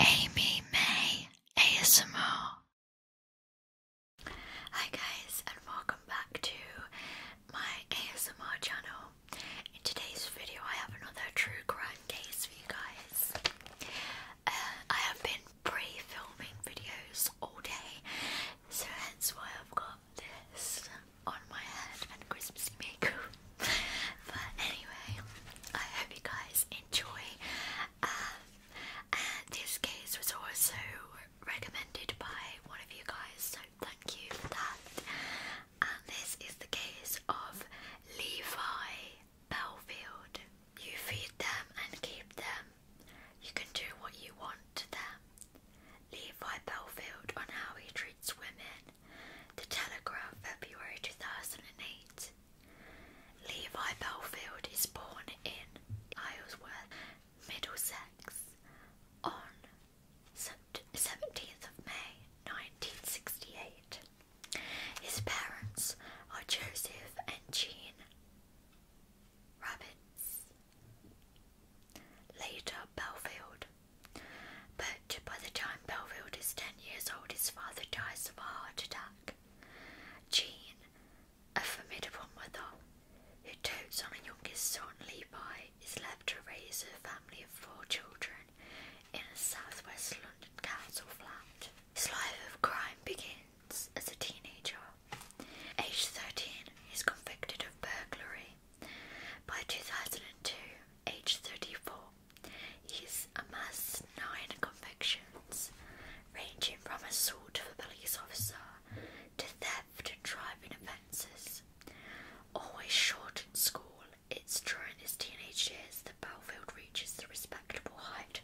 Amy May ASMR. Hi guys and welcome back to my ASMR channel. In today's video I have another true crime case for you guys. Uh, I have been pre-filming videos all day so hence why I've got this on my head and Christmassy makeup but anyway, I hope you guys enjoy. Um, this case was also recommended by one of you guys, so thank you for that. And this is the case of Levi Belfield. You feed them and keep them. You can do what you want to them. Levi Belfield on how he treats women. The Telegraph, February 2008. Levi Belfield is born in Islesworth, Middlesex, on 17th of May 1968. His parents are Joseph and Jean Rabbits. Later, Belfield but by the time Belfield is ten years old, his father dies of a heart attack. Jean, a formidable mother who dotes on a youngest son, Levi, is left to raise a family of four children in a southwest London council flat. His life of crime begins as a teenager. Aged 13, he's convicted of burglary. By 2002, aged 34, He's amassed nine convictions, ranging from assault of a police officer to theft and driving offences. Always short in school, it's during his teenage years that Belfield reaches the respectable height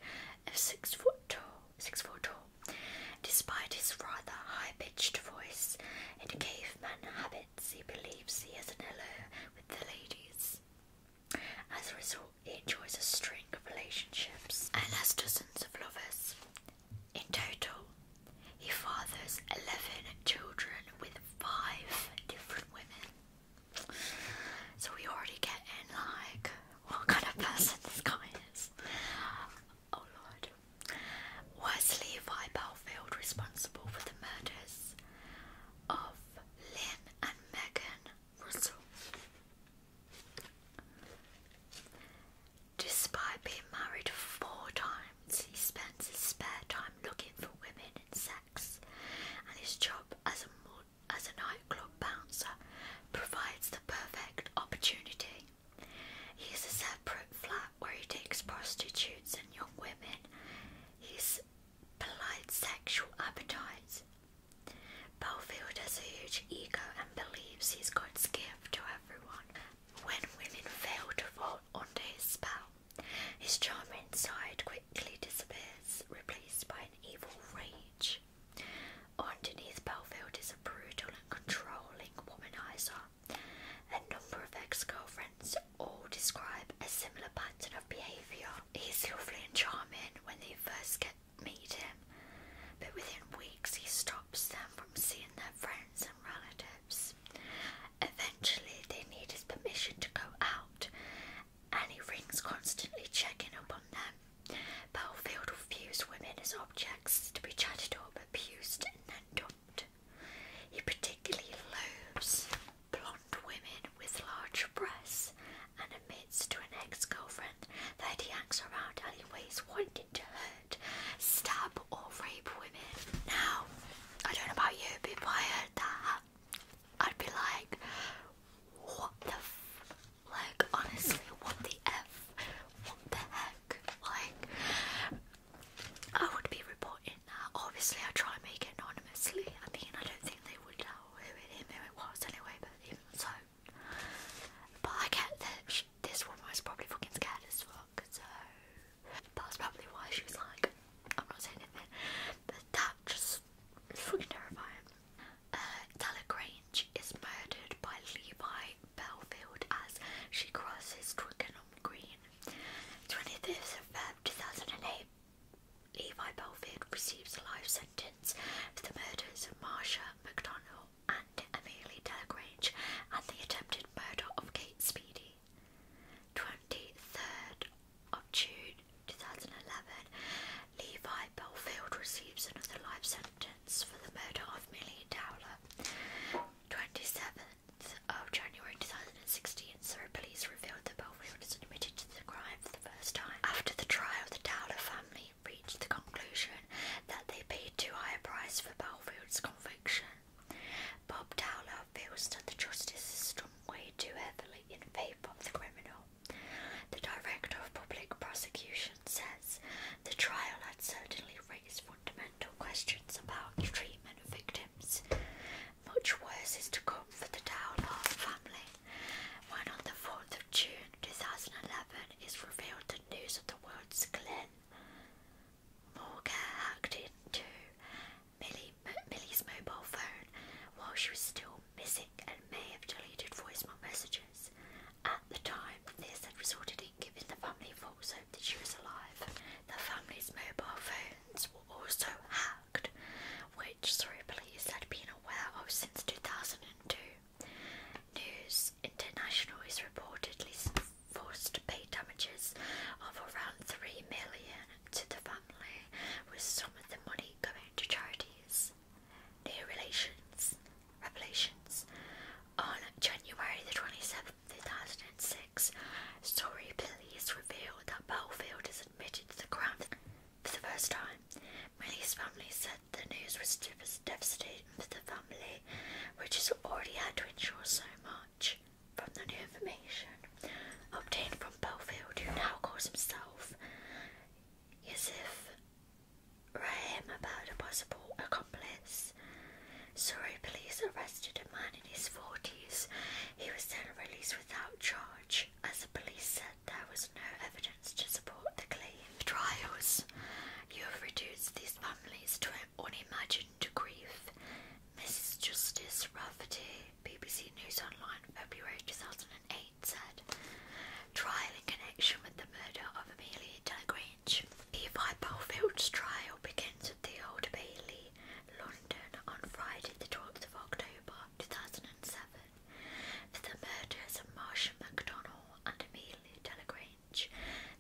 of six foot tall. Six foot tall. Despite his rather high pitched voice and caveman habits, he believes he is an hello with the ladies. As a result, he enjoys a string of relationships and has dozens of lovers. In total, he fathers 11 children with five different women. So we already get in like what kind of person this guy is. Oh lord. Was Levi Belfield responsible for the murders of Lynn and Megan Russell. Despite being married four times, he spends his spare time looking for women and sex, and his job as a, as a nightclub bouncer provides the perfect opportunity. He has a separate, flat where he takes prostitutes and young women, his polite sexual appetites. Bellfield has a huge ego and believes he's God's gift to everyone. When women fail to fall under his spell, his charming side quickly disappears, replaced by an evil rage. Underneath Bellfield is a brutal and controlling womanizer a number of ex girlfriends all describe a similar pattern of behaviour. He's lovely and charming when they first get meet him, but within weeks he stops them from seeing their friends and relatives. Eventually, they need his permission to go out, and he rings constantly checking up on them. Belfield views women as objects to be chatted up, abused, and then he particularly loathes blonde women with large breasts and admits to an ex girlfriend that he hangs around alleyways wanting to hurt, stab, or rape women. Now, I don't know about you, but if I heard that, I'd be like, what the Like, honestly, what the f? What the heck? Like, I would be reporting that. Obviously, I try and make it anonymously. I mean, I don't think they would know who it, who it was anyway, but even so. But I get that this woman was probably fucking scared as fuck, so. That's probably why she was like, I'm not saying anything. But that just is fucking terrifying. Uh, Grange is murdered by Levi Belfield as she crosses Twickenham Green. 25th Feb 2008, Levi Belfield receives life sentence for the murders of Marsha McDonald and Amelia Delagrange and the attempted murder of Kate Speedy. 23rd June 2011, Levi Belfield receives another life sentence for the murder of Millie Dowler. 27th of January 2016, Surrey Police revealed that Belfield was admitted to the crime for the first time. After the trial, the Dowler family reached the conclusion that they paid too high a price for Belfield's conviction. Bob Dowler feels that the justice system weighed too heavily in favour of the criminal. The director of public prosecution says the trial had certainly raised fundamental questions about the treatment of victims. Much worse is to come for the Dowlhall family when on the 4th of June 2011 is revealed the news of the world's Glen. Morgan hacked into Millie's mobile phone while she was still missing and may have deleted voicemail messages. At the time, time, Liz had resorted in giving the family false hope that she was alive. The family's mobile phones were also hacked, which through Police had been aware of since 2002. News International is reportedly forced to pay damages of around 3 million to the family, with some of the money going to charities. near relations. Revelations. On January the 27th, 2006, Story police revealed that Belfield is admitted to the crime for the first time. Millie's family said the news was devastating for the family, which has already had to endure so much from the new information obtained from Belfield, who now calls himself Yusuf Rahim about a possible accomplice. Surrey police arrested a man in his 40s. He was then released without charge, as the police said there was no evidence to support the claim. Trials. You have reduced these families to unimagined grief. Mrs. Justice Rufferty. BBC News Online, February 2008, said, Trial in connection with the murder of Amelia Delagrange. Levi Belfield's trial begins at the Old Bailey, London, on Friday, the 12th of October 2007, for the murders of Marcia MacDonald and Amelia Delagrange,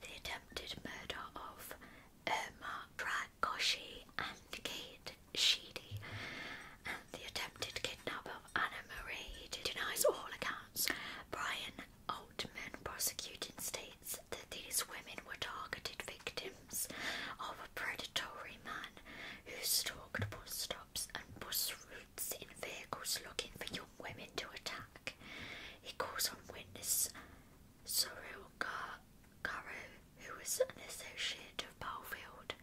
the attempted murder of Irma Dragoshi and Kate Sheedy, and the attempted kidnapping of Anna Marie. He denies all accounts. Brian Altman prosecuting states that these women were targeted victims of a predatory man who stalked bus stops and bus routes in vehicles looking for young women to attack. He calls on witness Sorrel Karu, who was an associate of Balfield.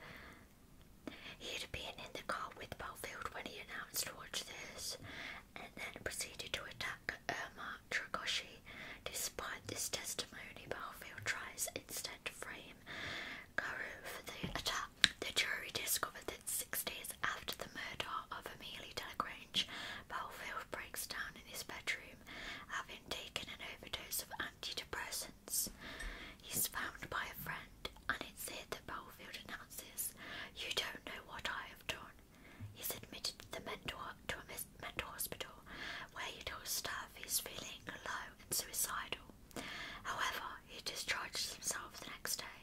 He had been in the car with Balfield when he announced watch this, and then proceeded to attack Irma uh, Dragoshi. Despite this testimony, Barfield tries instead to frame Karu for the attack. The jury discovered that six days after the murder of Amelia Delagrange, Barfield breaks down in his bedroom, having taken an overdose of antidepressants. He's found by a friend, and it's here that Barfield announces, You don't know what I have done. He's admitted to the mentor to a mental hospital where he told staff he's feeling low and suicidal. However, he discharges himself the next day.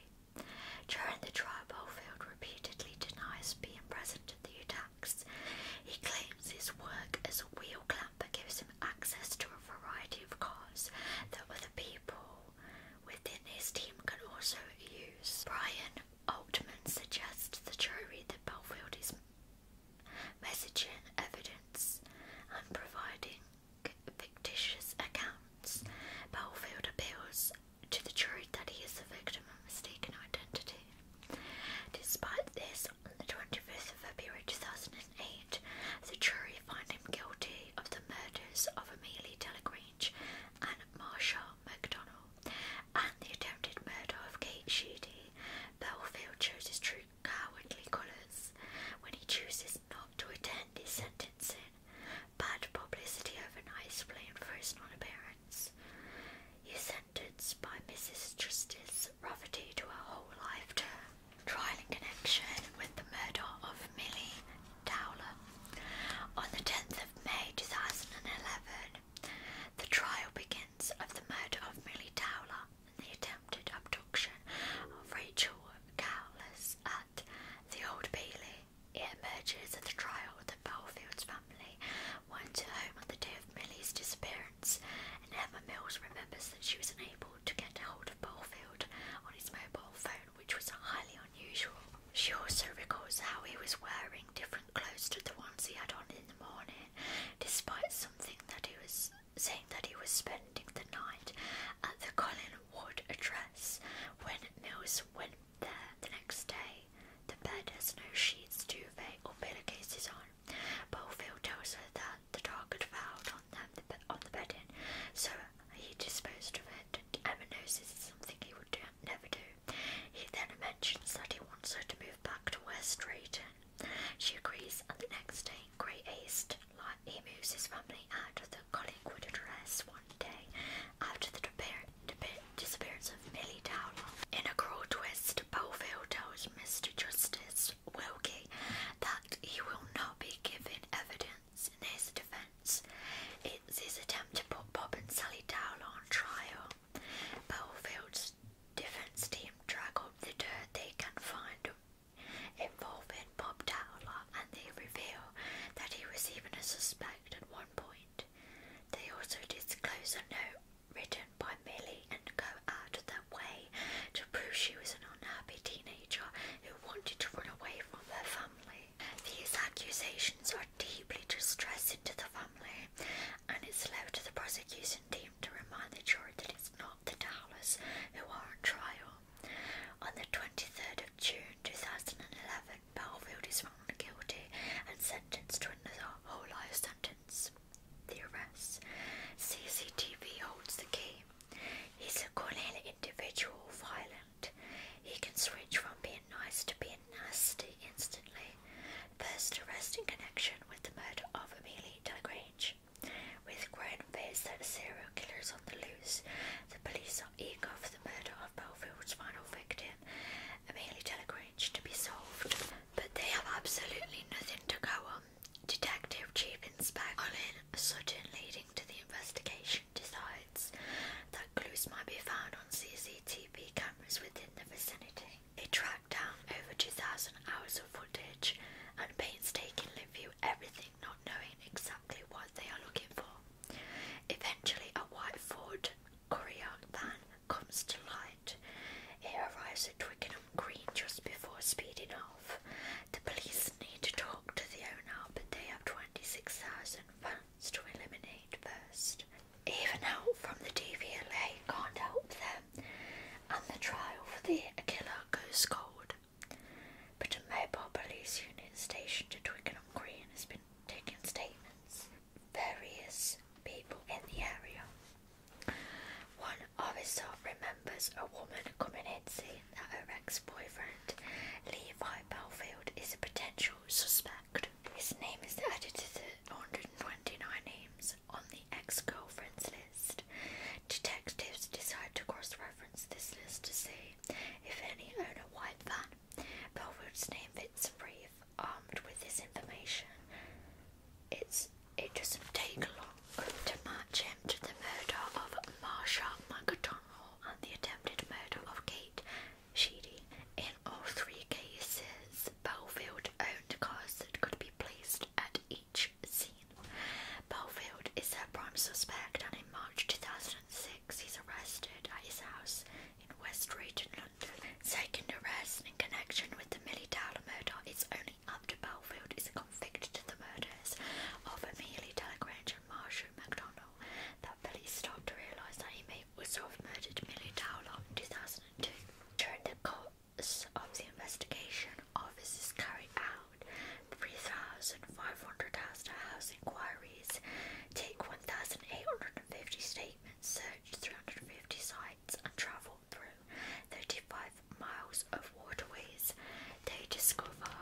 During the trial, Bofield repeatedly denies being present at the attacks. He claims his work as a wheel clamper gives him access to a variety of cars that other people within his team can also use. Brian Altman suggests the jury that Belfield is messaging evidence and providing fictitious accounts. Belfield appeals to the jury that he is the victim of mistaken identity. Despite this, on the 25th of February 2008, the jury find him guilty of the murders of Amelia Delagrange and Marsha MacDonald, and the attempted murder of Kate Sheedy. Belfield chose his true cowardly colours when he chooses not to attend his sentencing. Bad publicity overnight is blamed for his non-appearance. He is sentenced by Mrs. Justice Rufferty to a whole life term trial in connection with the murder of Milly Dowler. On the 10th of May 2011, the trial begins of the murder of Milly Dowler and the attempted abduction of Rachel Cowles at the Old Bailey. It emerges at the trial that Belfield's family went to home on the day of Milly's disappearance, and Emma Mills remembers that she was unable able to get hold of Bolefield on his mobile phone, which was highly unusual. She also recalls how he was wearing different clothes to the ones he had on in the morning, despite something that he was saying that he was spending the night at the Collinwood address. When Mills went there the next day, the bed has no sheets, duvet, or pillowcases on. Bolefield tells her that the dog had found on them the be so he disposed of it. Emma knows this is something he would never do. He then mentions that he wants her to move back to West Street. She agrees, and the next day, in Great like he moves his family out of the Collingwood address one day after the disappearance of Millie Dowler. In a cruel twist, Belfield tells Mr. Justice Wilkie that he will not be giving evidence in his defence. It's his attempt to put Bob and Sally Dowell on trial. Belfield's defence team drag up the dirt they can find involving Bob Dowler and they reveal that he was even a suspect at one point. They also disclose a note written by Millie and Co. out of way to prove she was an unhappy teenager who wanted to run away from her family. These accusations are deeply distressing to the family, and it's left to the prosecution team to remind the jury that it's not the Dowlers who are on trial. On the 23rd of June 2011, Belfield is found guilty and sentenced to another whole life sentence. The arrest. CCTV holds the key He's a corneal individual, violent. He can switch from being nice to being nasty instantly. First arrest in connection with the murder of Amelia Delagrange. With growing fears that serial killers are on the loose, the police are eager for the murder of Belfield's final victim, Amelia Delagrange, to be solved. But they have absolutely nothing to go on Detective Chief Inspector Colin Sutton, leading to the investigation, decides that clues might be found on CCTV cameras within the vicinity. They track down over 2,000 hours of footage and painstakingly view everything, not knowing exactly what they are looking for. Eventually, a white Ford courier van comes to light. It arrives at Twickenham green just before speeding off. The police need to talk to the owner, but they have 26,000 fans to eliminate first. Even help from the DVLA can't help them, and the trial for the killer goes cold. But a mobile police unit stationed at Twickenham Green has been taking statements various people in the area. One Orisot remembers a woman coming in saying that her ex-boyfriend, Levi Belfield, is a potential suspect. His name is added to the 129 names on the ex-girlfriend's list. Detectives decide to cross-reference this list to see if any own a that. van. name fits a brief, armed with this information. It's it doesn't take long to match him to the murder of Marsha McDonald and the attempted murder of Kate Sheedy. In all three cases, Belfield owned cars that could be placed at each scene. Belfield is their prime suspect, and in March 2006, he's arrested at his house in West Drayton, London. Second arrest in connection with the Millie Dowler murder is only attorney Belfield is convicted of the murders of Amelia Delagrange and Marshall MacDonald, that police stopped to realise that he may also murdered Millie Dowler in 2002. During the course of the investigation, officers carried out 3,500 house-to-house inquiries, take 1,850 statements, search 350 sites, and travel through 35 miles of waterways. They discover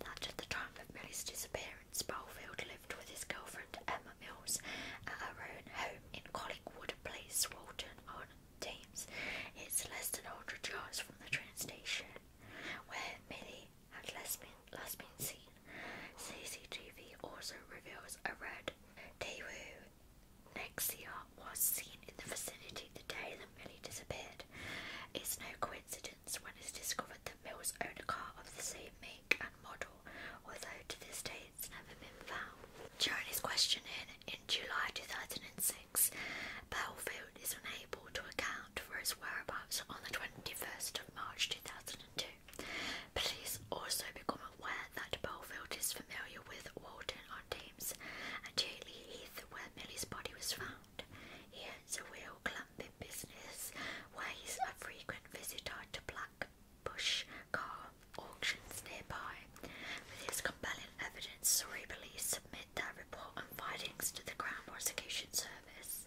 that at the time of Millie's disappearance, Belfield lived with his girlfriend Emma Mills at her own home in Collingwood Place, Walton on Thames. It's less than 100 yards from the train station where Millie had last been, last been seen. CCTV also reveals a red Daewoo Nexia was seen in the vicinity the day that Millie disappeared. It's no coincidence when it's discovered that Mills owned a car of the same make and model, although to this day it's never been found. During his questioning in July 2006, Belfield is unable to account for his whereabouts on the 21st of March 2002. Police also become aware that Belfield is familiar with Walton-on-Thames and Chatley Heath where Millie's body was found. He owns a real clumping business where he's a frequent visitor to Blackbush car auctions nearby. With his compelling evidence, Surrey police submit their report and findings to the Crown Prosecution Service.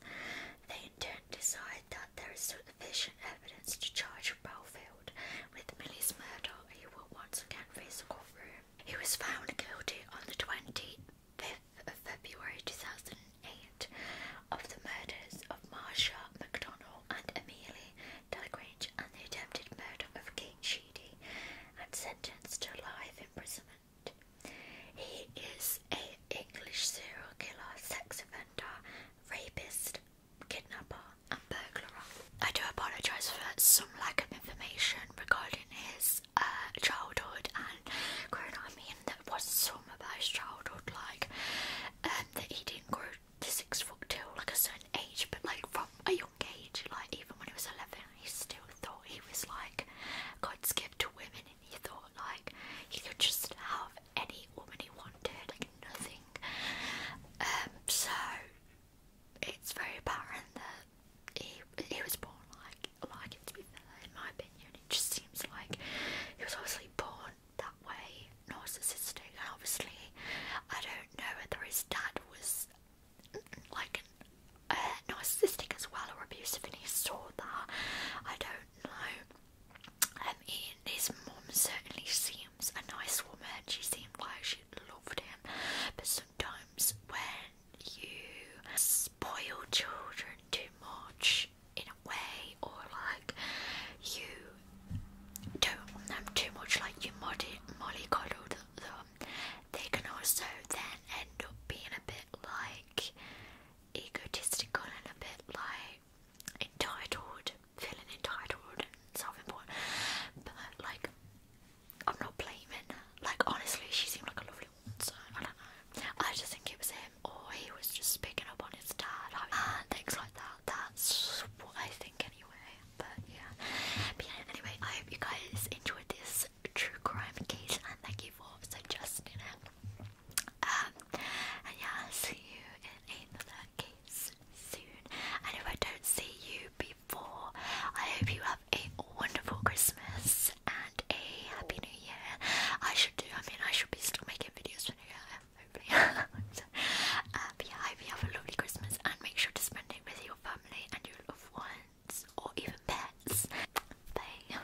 They in turn decide that there is sufficient evidence to charge Belfield with Milly's murder, he will once again face a courtroom. He was found guilty on the 25th of February 2008 of the murders of Marsha McDonald and Amelia Delagrange and the attempted murder of Kate Sheedy and sentenced to life imprisonment. He is an English serial killer, sex offender, rapist, kidnapper and burglar. I do apologise for some lack of information regarding his uh, childhood and growing up. I mean, there was so much about his childhood, like um, that he didn't grow to six foot two, like a certain age, but like from a young age, like even when he was 11, he still thought he was like God's gift to women, and he thought like he could just have any woman he wanted, like nothing. Um, so it's very apparent that he he was born like like it to be fair, in my opinion. It just seems like he was obviously born that way, narcissistic, and obviously I don't know whether his dad was like an, uh, narcissistic as well or abusive, and he saw that. I don't know. And his mom certainly seems a nice woman. She seemed like she loved him, but sometimes when you spoil children too much in a way, or like you don't want them too much, like you molly mollycoddle them, um, they can also then end up being a bit like egotistical and a bit like entitled feeling entitled and self-important, but like I'm not blaming. Like honestly, she seemed like a lovely woman, I don't know. I just think it was him, or he was just picking up on his dad and things like that. That's what I think anyway. But yeah. Anyway, I hope you guys enjoyed this true crime case, and thank you for suggesting it. Um, and yeah, i see you in another case soon. And if I don't see you before, I hope you have a wonderful Christmas and a happy new year. I should do, I mean, I should be still making videos for new year, hopefully. so, uh, um, but you have a lovely Christmas and make sure to spend it with your family and your loved ones or even pets. Bye.